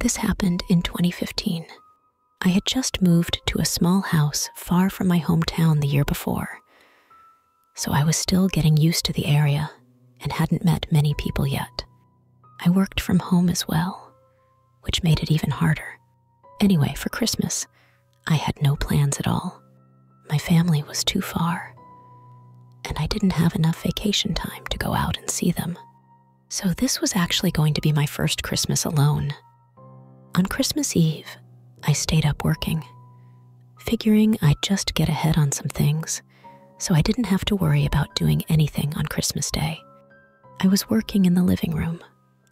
This happened in 2015. I had just moved to a small house far from my hometown the year before, so I was still getting used to the area and hadn't met many people yet. I worked from home as well, which made it even harder. Anyway, for Christmas, I had no plans at all. My family was too far, and I didn't have enough vacation time to go out and see them. So, this was actually going to be my first Christmas alone. On Christmas Eve, I stayed up working, figuring I'd just get ahead on some things, so I didn't have to worry about doing anything on Christmas Day. I was working in the living room,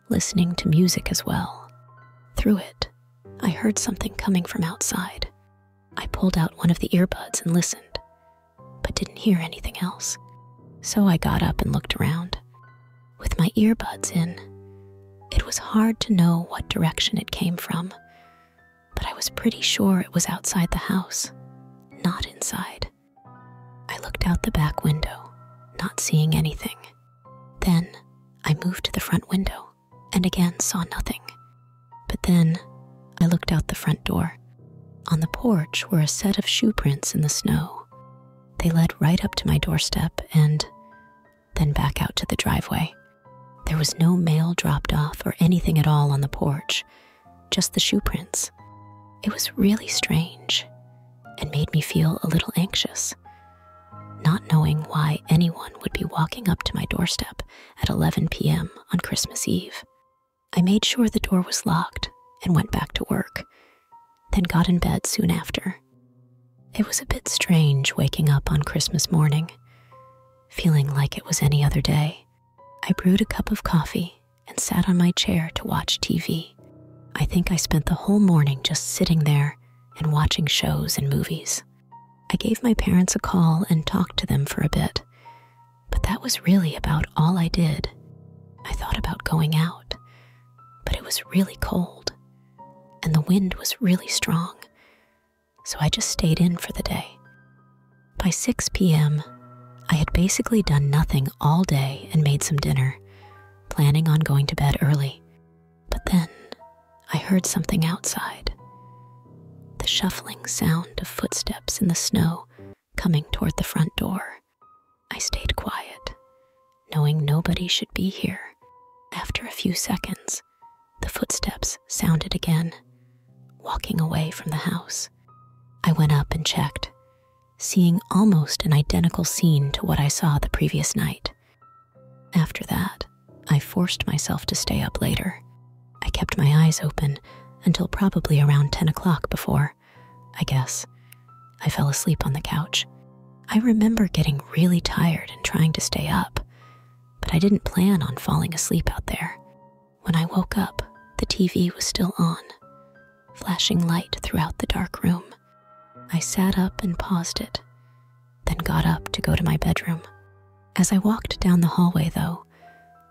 listening to music as well. Through it, I heard something coming from outside. I pulled out one of the earbuds and listened, but didn't hear anything else. So I got up and looked around. With my earbuds in, it was hard to know what direction it came from, but I was pretty sure it was outside the house, not inside. I looked out the back window, not seeing anything. Then I moved to the front window and again saw nothing. But then I looked out the front door on the porch were a set of shoe prints in the snow. They led right up to my doorstep and then back out to the driveway. There was no mail dropped off or anything at all on the porch, just the shoe prints. It was really strange and made me feel a little anxious, not knowing why anyone would be walking up to my doorstep at 11 p.m. on Christmas Eve. I made sure the door was locked and went back to work, then got in bed soon after. It was a bit strange waking up on Christmas morning, feeling like it was any other day. I brewed a cup of coffee and sat on my chair to watch TV. I think I spent the whole morning just sitting there and watching shows and movies. I gave my parents a call and talked to them for a bit, but that was really about all I did. I thought about going out, but it was really cold, and the wind was really strong, so I just stayed in for the day. By 6 p.m., I had basically done nothing all day and made some dinner, planning on going to bed early. But then I heard something outside the shuffling sound of footsteps in the snow coming toward the front door. I stayed quiet, knowing nobody should be here. After a few seconds, the footsteps sounded again, walking away from the house. I went up and checked, seeing almost an identical scene to what I saw the previous night. After that, I forced myself to stay up later, I kept my eyes open until probably around 10 o'clock before, I guess, I fell asleep on the couch. I remember getting really tired and trying to stay up, but I didn't plan on falling asleep out there. When I woke up, the TV was still on, flashing light throughout the dark room. I sat up and paused it, then got up to go to my bedroom. As I walked down the hallway, though,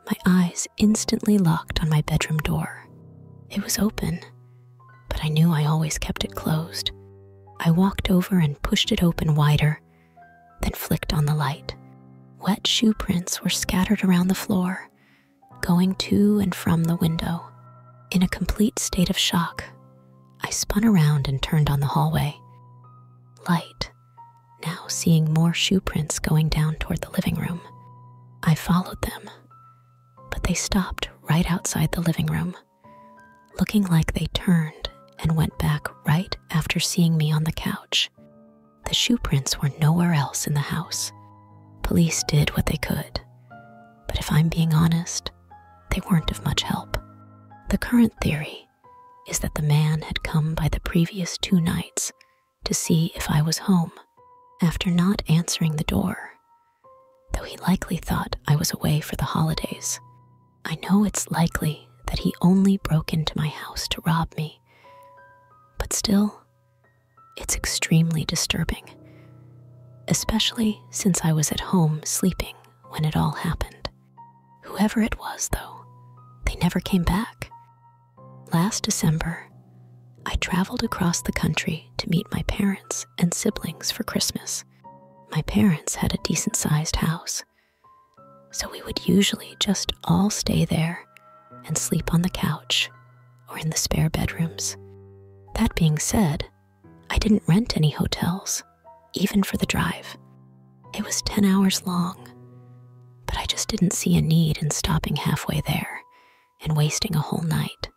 my eyes instantly locked on my bedroom door. It was open, but I knew I always kept it closed. I walked over and pushed it open wider, then flicked on the light. Wet shoe prints were scattered around the floor, going to and from the window. In a complete state of shock, I spun around and turned on the hallway. Light, now seeing more shoe prints going down toward the living room. I followed them, but they stopped right outside the living room, looking like they turned and went back right after seeing me on the couch. The shoe prints were nowhere else in the house. Police did what they could, but if I'm being honest, they weren't of much help. The current theory is that the man had come by the previous two nights to see if I was home after not answering the door, though he likely thought I was away for the holidays. I know it's likely that he only broke into my house to rob me, but still, it's extremely disturbing, especially since I was at home sleeping when it all happened. Whoever it was, though, they never came back. Last December, I traveled across the country to meet my parents and siblings for Christmas. My parents had a decent sized house, so we would usually just all stay there and sleep on the couch or in the spare bedrooms. That being said, I didn't rent any hotels, even for the drive. It was 10 hours long, but I just didn't see a need in stopping halfway there and wasting a whole night.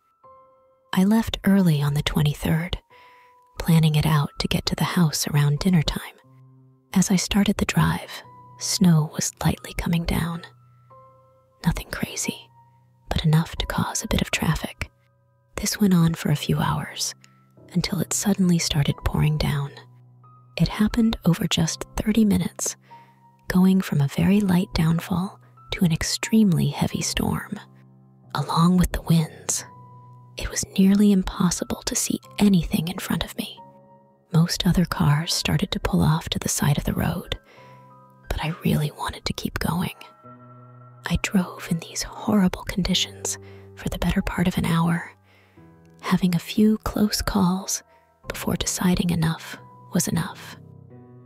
I left early on the 23rd, planning it out to get to the house around dinner time. As I started the drive, snow was lightly coming down. Nothing crazy, but enough to cause a bit of traffic. This went on for a few hours until it suddenly started pouring down. It happened over just 30 minutes going from a very light downfall to an extremely heavy storm. Along with the winds, it was nearly impossible to see anything in front of me. Most other cars started to pull off to the side of the road, but I really wanted to keep going. I drove in these horrible conditions for the better part of an hour, having a few close calls before deciding enough was enough.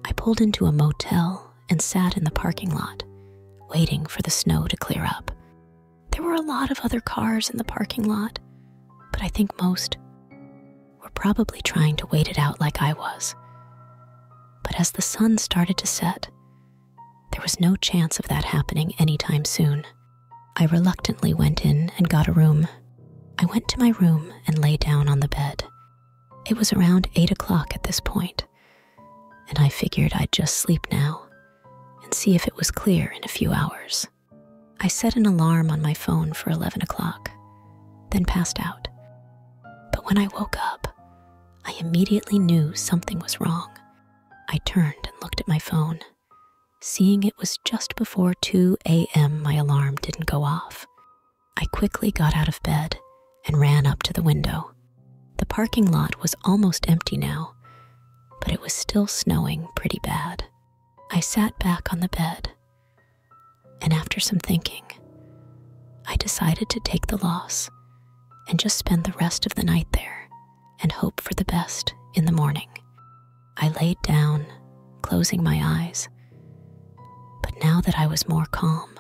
I pulled into a motel and sat in the parking lot, waiting for the snow to clear up. There were a lot of other cars in the parking lot, but I think most were probably trying to wait it out like I was. But as the sun started to set, there was no chance of that happening anytime soon. I reluctantly went in and got a room. I went to my room and lay down on the bed. It was around 8 o'clock at this point, and I figured I'd just sleep now and see if it was clear in a few hours. I set an alarm on my phone for 11 o'clock, then passed out. But when I woke up, I immediately knew something was wrong. I turned and looked at my phone. Seeing it was just before 2 a.m., my alarm didn't go off. I quickly got out of bed and ran up to the window. The parking lot was almost empty now, but it was still snowing pretty bad. I sat back on the bed, and after some thinking, I decided to take the loss and just spend the rest of the night there and hope for the best in the morning. I laid down, closing my eyes. But now that I was more calm,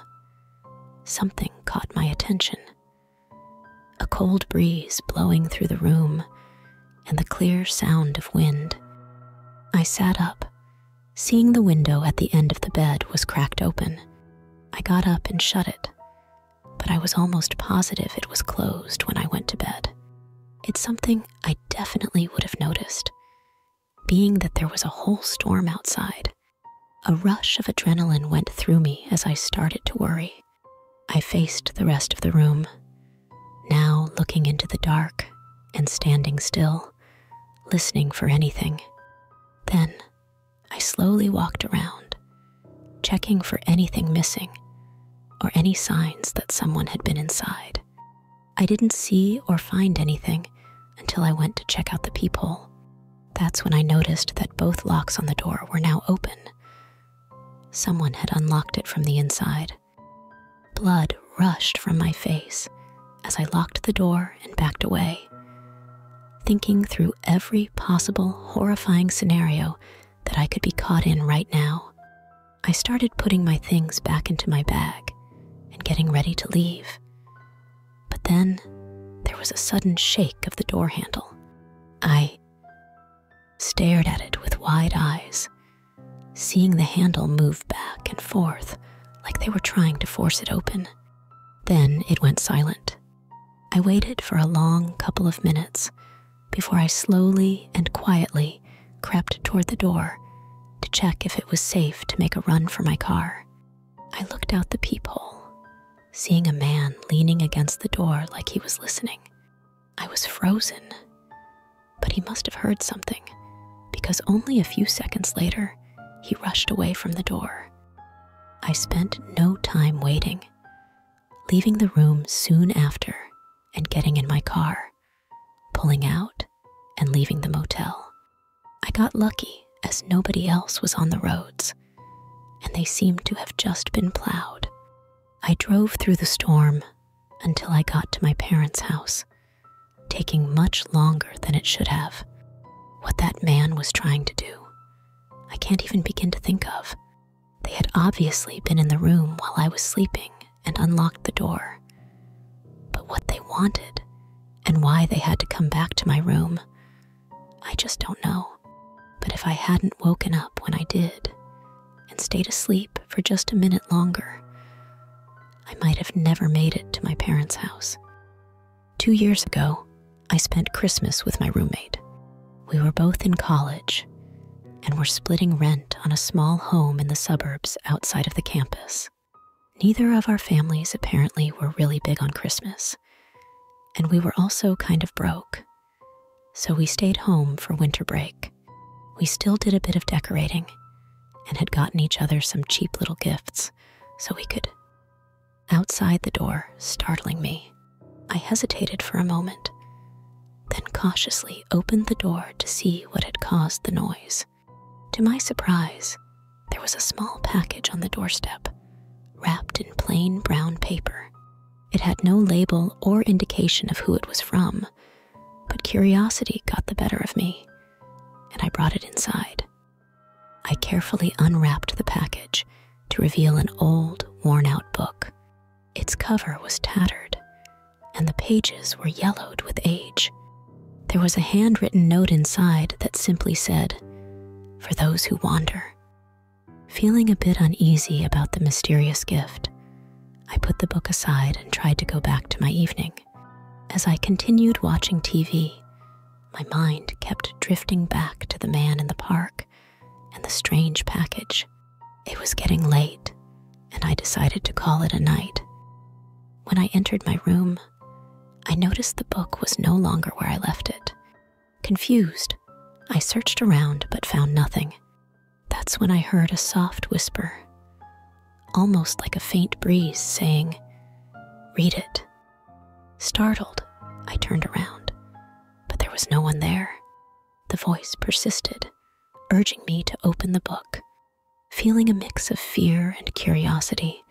something caught my attention. A cold breeze blowing through the room and the clear sound of wind. I sat up, seeing the window at the end of the bed was cracked open. I got up and shut it, but I was almost positive it was closed when I went to bed. It's something I definitely would have noticed, being that there was a whole storm outside. A rush of adrenaline went through me as I started to worry. I faced the rest of the room, now looking into the dark and standing still, listening for anything. Then I slowly walked around, checking for anything missing, or any signs that someone had been inside. I didn't see or find anything until I went to check out the peephole. That's when I noticed that both locks on the door were now open. Someone had unlocked it from the inside. Blood rushed from my face as I locked the door and backed away. Thinking through every possible horrifying scenario that I could be caught in right now. I started putting my things back into my bag and getting ready to leave. But then there was a sudden shake of the door handle. I stared at it with wide eyes, seeing the handle move back and forth like they were trying to force it open. Then it went silent. I waited for a long couple of minutes before I slowly and quietly crept toward the door to check if it was safe to make a run for my car. I looked out the peephole, seeing a man leaning against the door like he was listening. I was frozen, but he must have heard something because only a few seconds later he rushed away from the door. I spent no time waiting, leaving the room soon after and getting in my car, pulling out, and leaving the motel. I got lucky as nobody else was on the roads, and they seemed to have just been plowed. I drove through the storm until I got to my parents' house, taking much longer than it should have. What that man was trying to do, I can't even begin to think of. They had obviously been in the room while I was sleeping and unlocked the door. But what they wanted and why they had to come back to my room, I just don't know. But if I hadn't woken up when I did and stayed asleep for just a minute longer, I might have never made it to my parents' house. Two years ago, I spent Christmas with my roommate. We were both in college and were splitting rent on a small home in the suburbs outside of the campus. Neither of our families apparently were really big on Christmas, and we were also kind of broke. So we stayed home for winter break. We still did a bit of decorating and had gotten each other some cheap little gifts so we could. Outside the door, startling me, I hesitated for a moment then cautiously opened the door to see what had caused the noise. To my surprise, there was a small package on the doorstep, wrapped in plain brown paper. It had no label or indication of who it was from, but curiosity got the better of me, and I brought it inside. I carefully unwrapped the package to reveal an old, worn out book. Its cover was tattered, and the pages were yellowed with age. There was a handwritten note inside that simply said, For those who wander. Feeling a bit uneasy about the mysterious gift, I put the book aside and tried to go back to my evening. As I continued watching TV, my mind kept drifting back to the man in the park and the strange package. It was getting late, and I decided to call it a night. When I entered my room, I noticed the book was no longer where I left it. Confused, I searched around but found nothing. That's when I heard a soft whisper, almost like a faint breeze, saying, Read it. Startled, I turned around, but there was no one there. The voice persisted, urging me to open the book. Feeling a mix of fear and curiosity,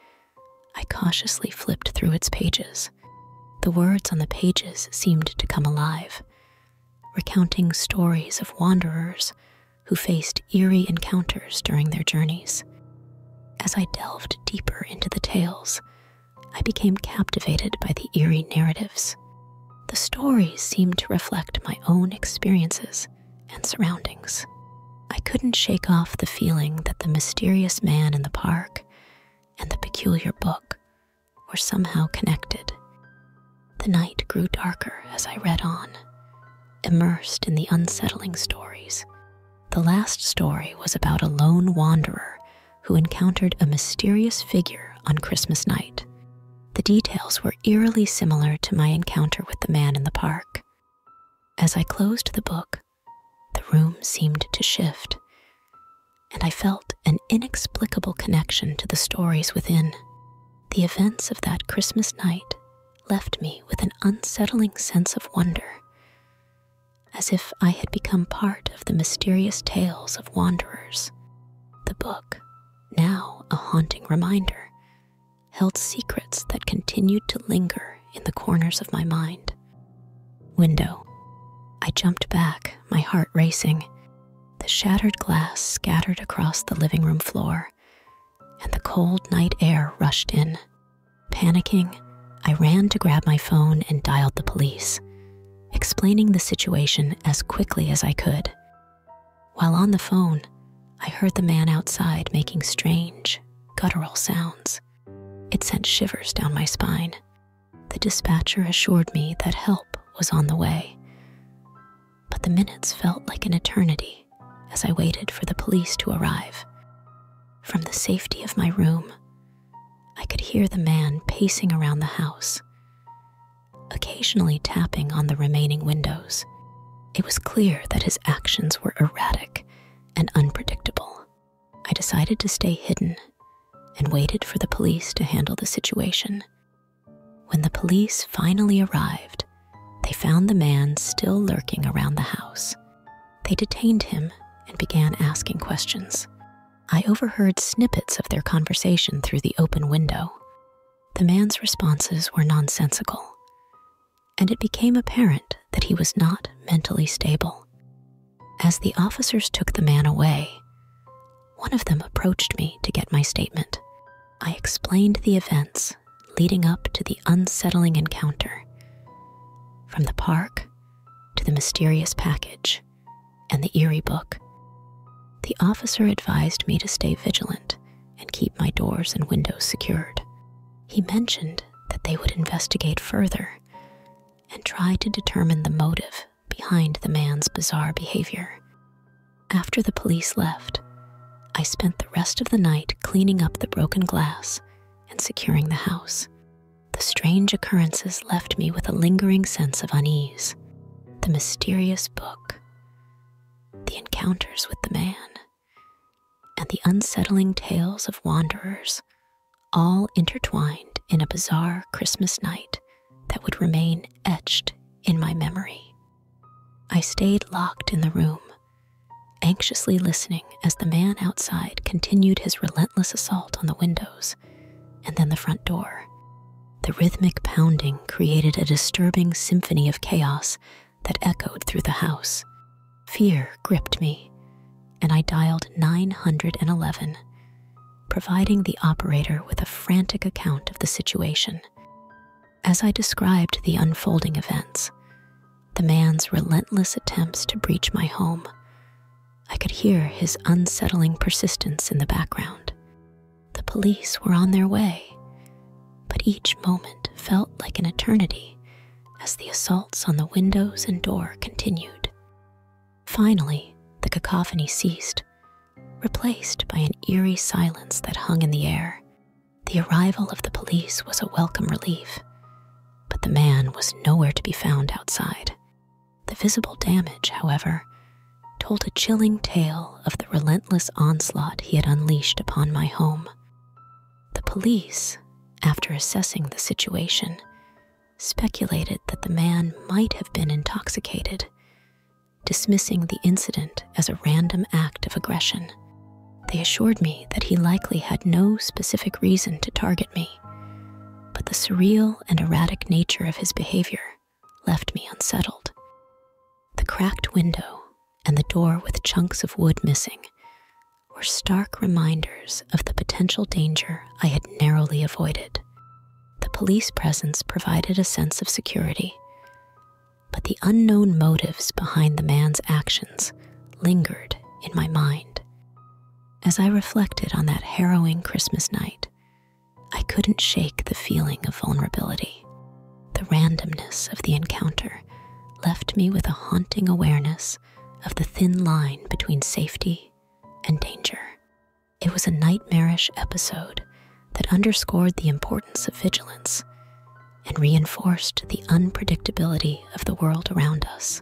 I cautiously flipped through its pages. The words on the pages seemed to come alive, recounting stories of wanderers who faced eerie encounters during their journeys. As I delved deeper into the tales, I became captivated by the eerie narratives the stories seemed to reflect my own experiences and surroundings. I couldn't shake off the feeling that the mysterious man in the park and the peculiar book were somehow connected. The night grew darker as I read on, immersed in the unsettling stories. The last story was about a lone wanderer who encountered a mysterious figure on Christmas night. The details were eerily similar to my encounter with the man in the park. As I closed the book, the room seemed to shift, and I felt an inexplicable connection to the stories within. The events of that Christmas night left me with an unsettling sense of wonder, as if I had become part of the mysterious tales of wanderers. The book, now a haunting reminder, held secrets that continued to linger in the corners of my mind. Window. I jumped back, my heart racing. The shattered glass scattered across the living room floor, and the cold night air rushed in. Panicking, I ran to grab my phone and dialed the police explaining the situation as quickly as I could. While on the phone, I heard the man outside making strange, guttural sounds. It sent shivers down my spine. The dispatcher assured me that help was on the way. But the minutes felt like an eternity as I waited for the police to arrive. From the safety of my room, I could hear the man pacing around the house occasionally tapping on the remaining windows. It was clear that his actions were erratic and unpredictable. I decided to stay hidden and waited for the police to handle the situation. When the police finally arrived, they found the man still lurking around the house. They detained him and began asking questions. I overheard snippets of their conversation through the open window. The man's responses were nonsensical, and it became apparent that he was not mentally stable. As the officers took the man away, one of them approached me to get my statement. I explained the events leading up to the unsettling encounter from the park to the mysterious package and the Erie book. The officer advised me to stay vigilant and keep my doors and windows secured. He mentioned that they would investigate further and try to determine the motive behind the man's bizarre behavior. After the police left, I spent the rest of the night cleaning up the broken glass and securing the house. The strange occurrences left me with a lingering sense of unease the mysterious book, the encounters with the man, and the unsettling tales of wanderers, all intertwined in a bizarre Christmas night that would remain etched in my memory. I stayed locked in the room, anxiously listening as the man outside continued his relentless assault on the windows and then the front door. The rhythmic pounding created a disturbing symphony of chaos that echoed through the house. Fear gripped me, and I dialed 911, providing the operator with a frantic account of the situation. As I described the unfolding events, the man's relentless attempts to breach my home, I could hear his unsettling persistence in the background. The police were on their way, but each moment felt like an eternity as the assaults on the windows and door continued. Finally, the cacophony ceased, replaced by an eerie silence that hung in the air. The arrival of the police was a welcome relief, but the man was nowhere to be found outside. The visible damage, however, told a chilling tale of the relentless onslaught he had unleashed upon my home. The police, after assessing the situation, speculated that the man might have been intoxicated, dismissing the incident as a random act of aggression. They assured me that he likely had no specific reason to target me, but the surreal and erratic nature of his behavior left me unsettled. The cracked window and the door with chunks of wood missing were stark reminders of the potential danger I had narrowly avoided. The police presence provided a sense of security, but the unknown motives behind the man's actions lingered in my mind. As I reflected on that harrowing Christmas night, I couldn't shake the feeling of vulnerability. The randomness of the encounter left me with a haunting awareness of the thin line between safety and danger. It was a nightmarish episode that underscored the importance of vigilance and reinforced the unpredictability of the world around us.